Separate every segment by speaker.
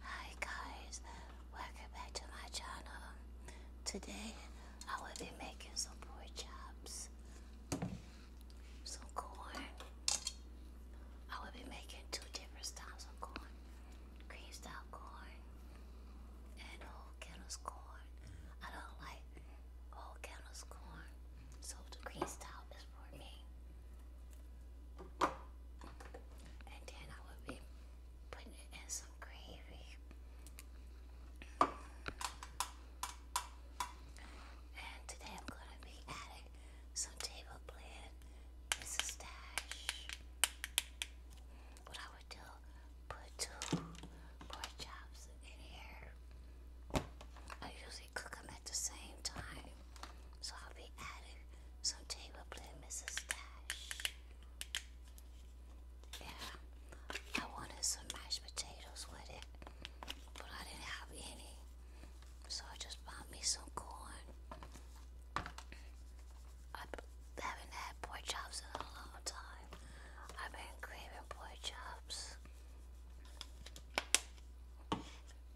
Speaker 1: Hi guys, welcome back to my channel. Today I will be making some pork chops, some corn. I will be making two different styles of corn, green style corn and whole kennels corn. I don't like whole kennels corn, so the green style is and then I will be putting it in some gravy. And today I'm going to be adding some table plan. It's a stash. What I would do, put two pork chops in here. I usually cook them at the same time. So I'll be adding some table Mrs. Dash. Yeah, I wanted some mashed potatoes with it, but I didn't have any. So I just bought me some corn. I haven't had pork chops in a long time. I've been craving pork chops.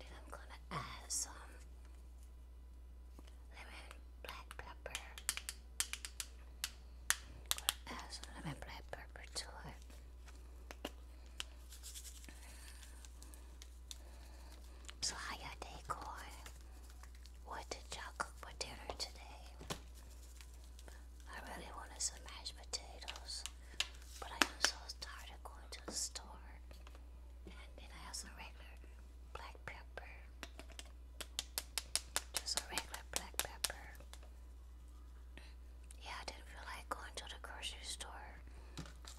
Speaker 1: Then I'm gonna add some lemon black pepper. gonna add some lemon black pepper to it. So how your day going? What did y'all cook for dinner today? I really wanted some mashed potatoes, but I am so tired of going to the store. And then I have regular black pepper. Just a regular black pepper. Yeah, I didn't feel like going to the grocery store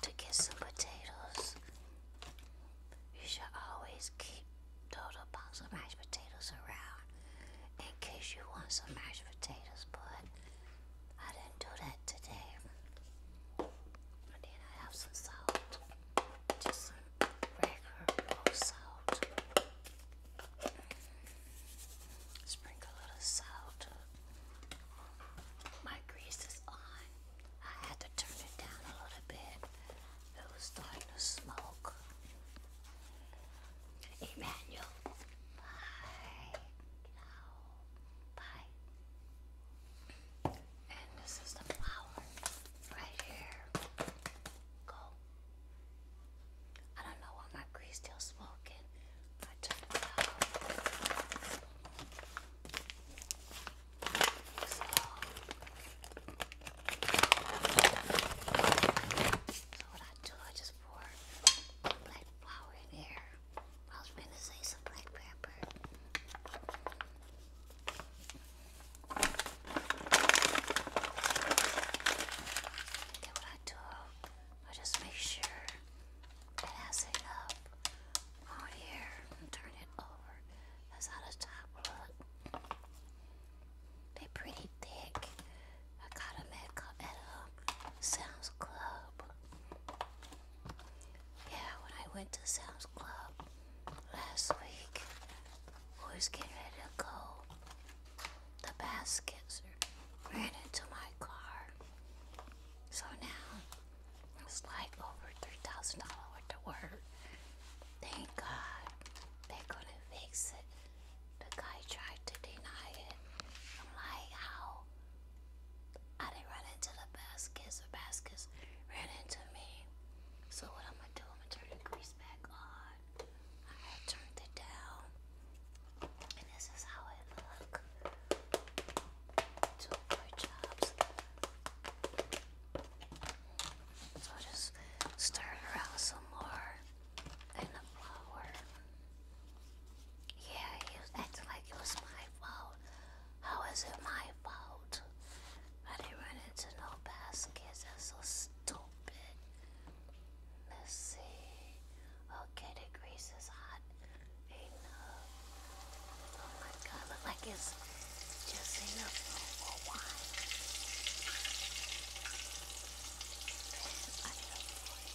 Speaker 1: to get some potatoes. You should always keep total box of mashed potatoes around in case you want some mashed potatoes, Put. I didn't do that today. And then I have some salt. Just regular roll salt. Sprinkle a little salt. My grease is on. I had to turn it down a little bit. It was starting to smoke. Emmanuel. Bye. Bye. And this is the flower right here. Go. I don't know why my grease still smoking. I took it out. so what I do, I just pour black flour in here. I was going to say some black pepper. Then what I do, I just make sure it has it up on here and turn it over. That's how the top look. they pretty thick. I got them at, at a um, Sam's Club. Yeah, when I went to Sam's Club last week, we was getting ready go. The baskets ran into my car. So now it's like over three thousand dollars worth work. Thank God they couldn't fix it. The guy tried to deny it. I'm like, how I didn't run into the baskets. The baskets ran into me. So what I'm gonna do, I'm gonna turn the grease back on. I have turned it down. And this is how it look. Two good jobs. So just stir it around some more in the flour. Yeah, he was acting like it was my fault fault? How is it my fault? I didn't run into no baskets. That's so stupid. Let's see. Okay, the grease is hot enough. Oh my god, look like it's just enough for wine. I need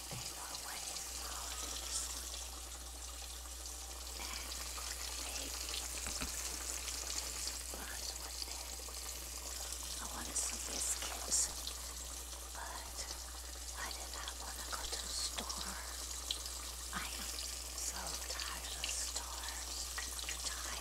Speaker 1: favorite wedding salad this morning. And of course, baby. But what did I wanted some biscuits, but I did not want to go to the store. I am so tired of the store. I'm tired. I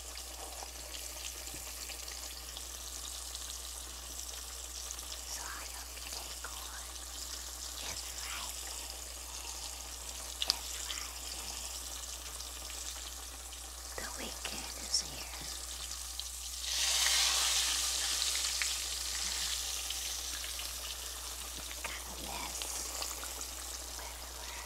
Speaker 1: So I hope you take on Friday. This Friday. The weekend is here. God bless.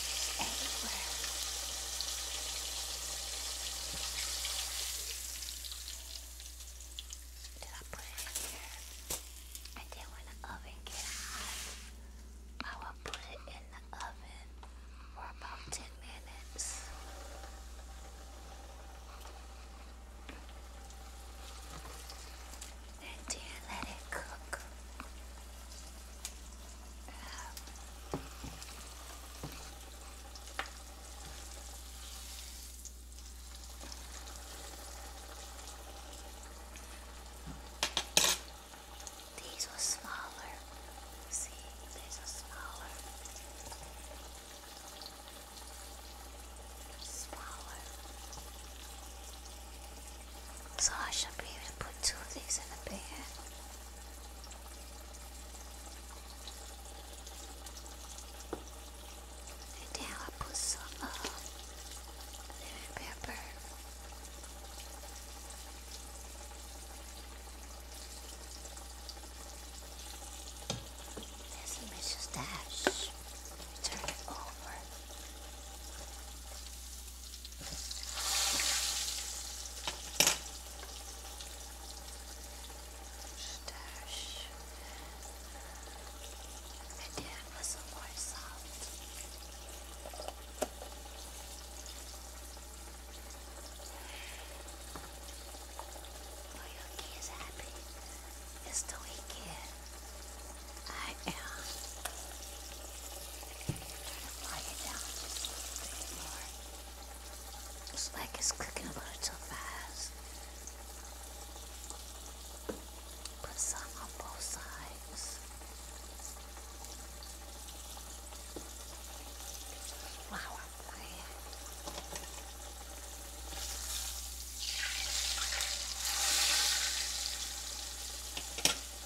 Speaker 1: is everywhere. Did I put it here? And then when the oven gets hot, I will put it in the oven for about 10 minutes and do let it cook? these were smaller. See, these are smaller. Smaller. So I should be able to put two of these in a pair. And now I put some uh, lemon pepper. This is dash. Turn it over. Stash. And then with some more salt. Oyuki is happy. It's the weekend. I am trying to lie it down just a little cooking a little fast. Put some on both sides. Flour we're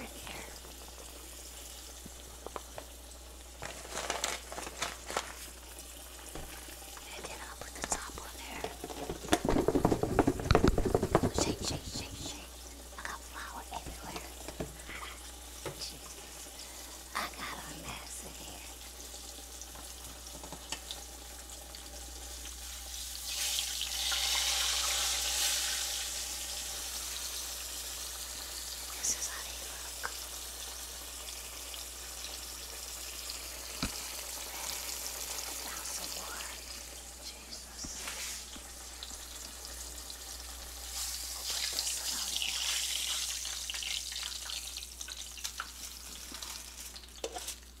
Speaker 1: in here. And then I'll put the top on there. Shake, shake, shake, shake. I got flour everywhere. Jesus. I got a mess in here. This is how they look. Found some more.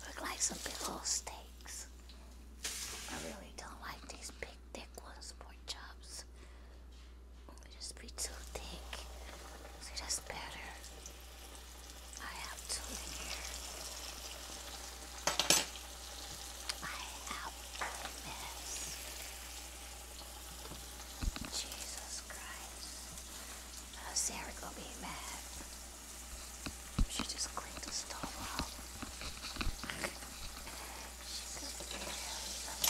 Speaker 1: Look like some big old steaks. I really don't like these big thick ones, pork chops. They just be too thick. See, that's better. I have two here. I am a mess. Jesus Christ. How's uh, Sarah gonna be mad? She just cleaned the stove up. She could be really upset.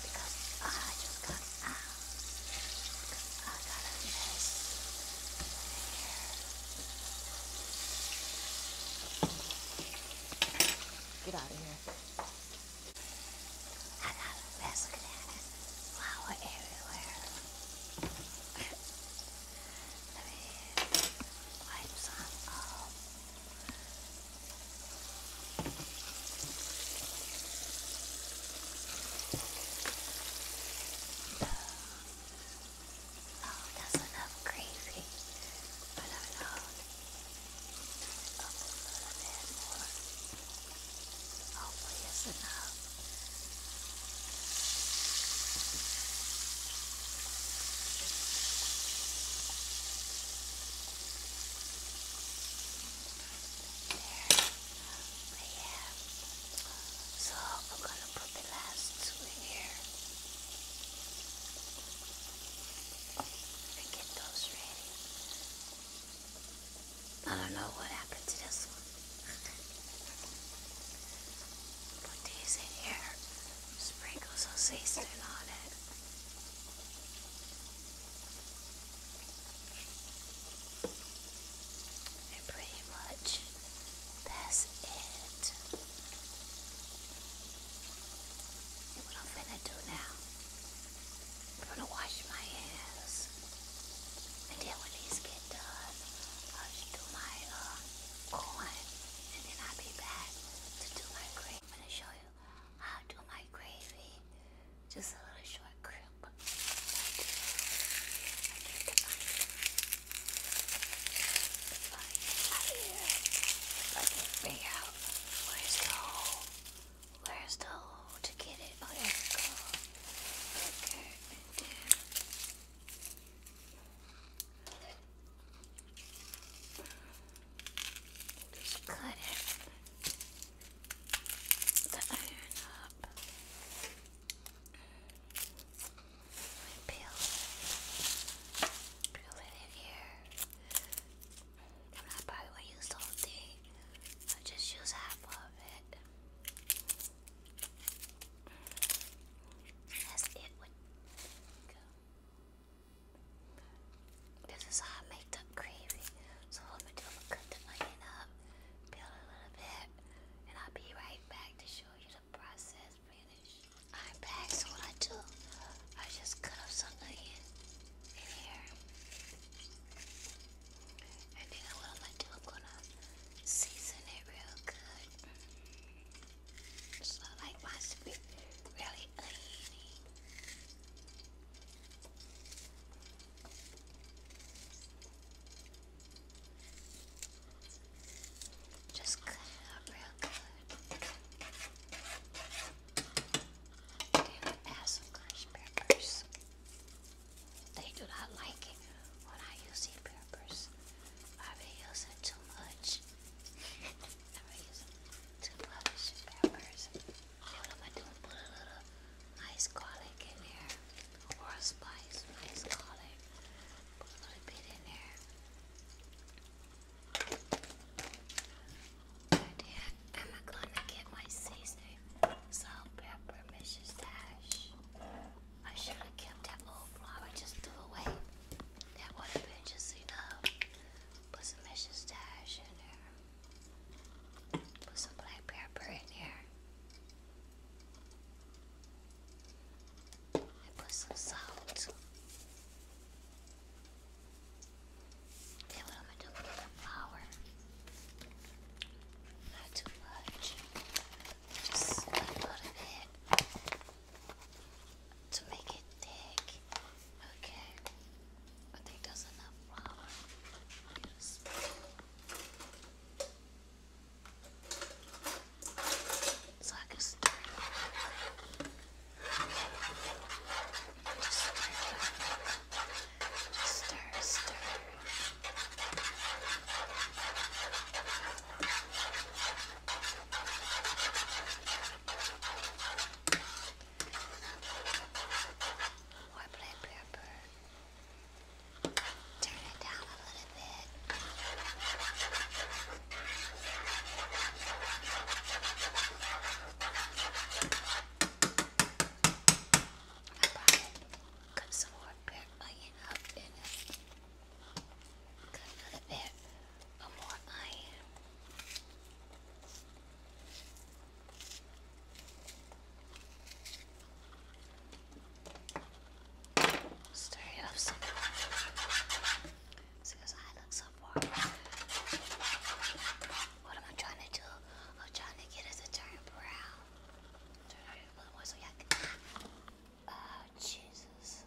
Speaker 1: Because I just got out. Because I got a mess. Here. Get out of here. I got a basket and flour everywhere. Let me wipe some off. Oh, that's enough gravy. But I a little bit more. Hopefully it's enough. There. We have so I'm gonna put the last two in here and get those ready. I don't know what happened to this one. put these in here, sprinkle some seasoning on it. And pretty much that's it. what I'm finna do now, I'm gonna wash my hands. And then when these get done, I'll do my uh, corn. And then I'll be back to do my gravy. I'm gonna show you how I do my gravy. Just a little short clip. I can't figure out where's the hole. Where's the hole to get it? Oh, Okay, and Just cut it. iron up. I peel, peel it in here. I, mean, I probably won't use the whole thing. I'll just use half of it. That's it would This is how I make gravy. So what I'm cut the onion up, peel a little bit, and I'll be right back to show you process finish. I'm back, so what I do, I just cut up some onion in here. And then what I'm gonna do, I'm gonna season it real good. So like mine to be really oniony. Just cut it up real good. Then add some crushed peppers. They do not like it when I use peppers. I've been using too much. I've too much peppers. What am I doing? Put a little nice garlic in there. Or a spice, nice garlic put a i gonna get my seasoning, salt, pepper, Mrs. Dash. I should have kept that old flower just threw away. That would have been just enough. Put some Mrs. Dash in there. Put some black pepper in there. I put some salt. Okay, what am I flour? Not too much. Just a little bit to make it thick. Okay. I think that's enough flour. So I can stir Just stir stir, stir. Why play paper? Turn it down a little bit. Cut some more bit uh, onion up in it. Cut another bit of more onion. Stir it up some more. Because I look so bored. What am I trying to do? I'm trying to get it to turn brown. Turn it a more so you can. Oh, Jesus.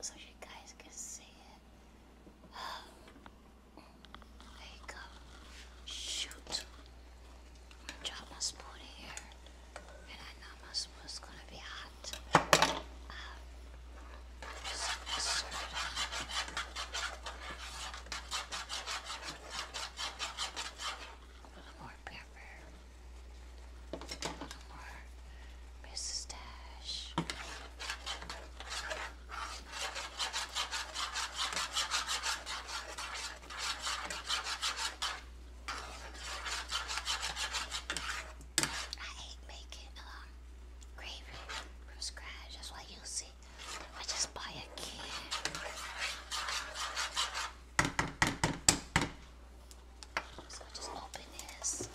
Speaker 1: So you guys can see it. There you go. Shoot i dropped my spoon here, and I know my spoon's gonna be hot. Um, a little more pepper, a little more Mrs. Dash. I hate making um, gravy from scratch. That's why you see I just buy a can. So I just open this.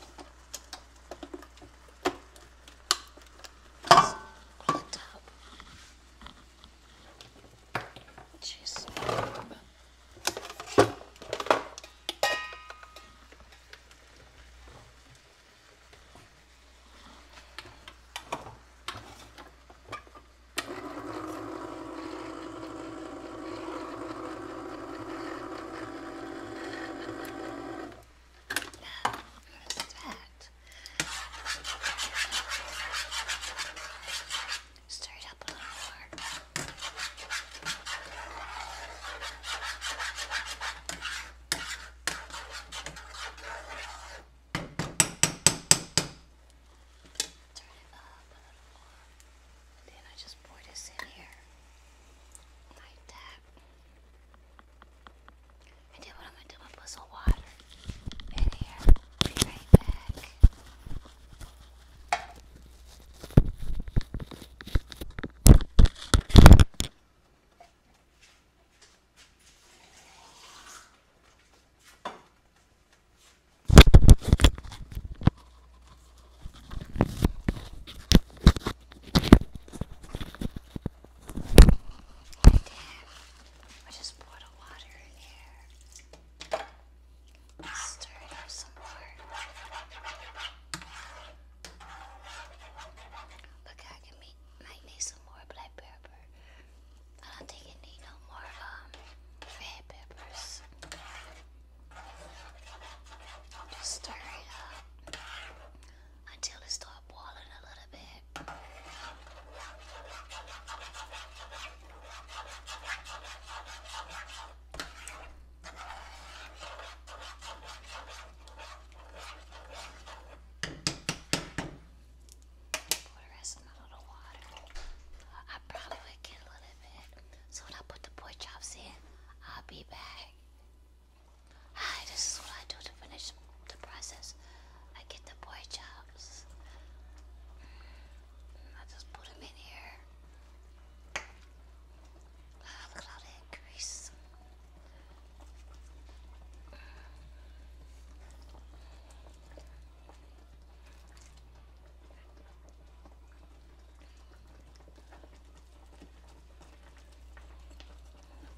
Speaker 1: Just on the top. Jeez. What is that? Stir it up a little more. Turn it up a little more. then I just pour this in here. Like that. And then what I'm gonna do, I'm gonna water video. Be right back. I did. I just poured a water in here. Stir it up some more. Look, I can make, need some more black pepper. I don't think it need no more um, red peppers. Just stir it up until it starts boiling a little bit it. Pour a little water. I probably get a little bit. So when I put the pork chops in, I'll be back. Hi, this is what I do to finish the process, I get the boy chops. Mm, I just put them in here. Ah, look at all that grease.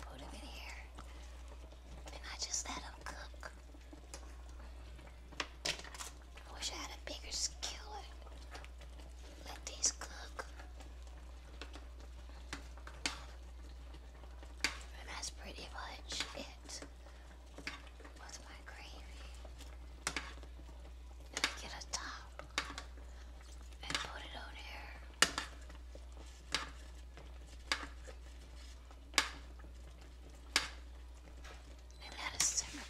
Speaker 1: Put them in here, and I just let them cook. I wish I had a bigger skillet. Let these cook. And that's pretty much it with my gravy. get a top and put it on here. And let it simmer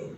Speaker 1: for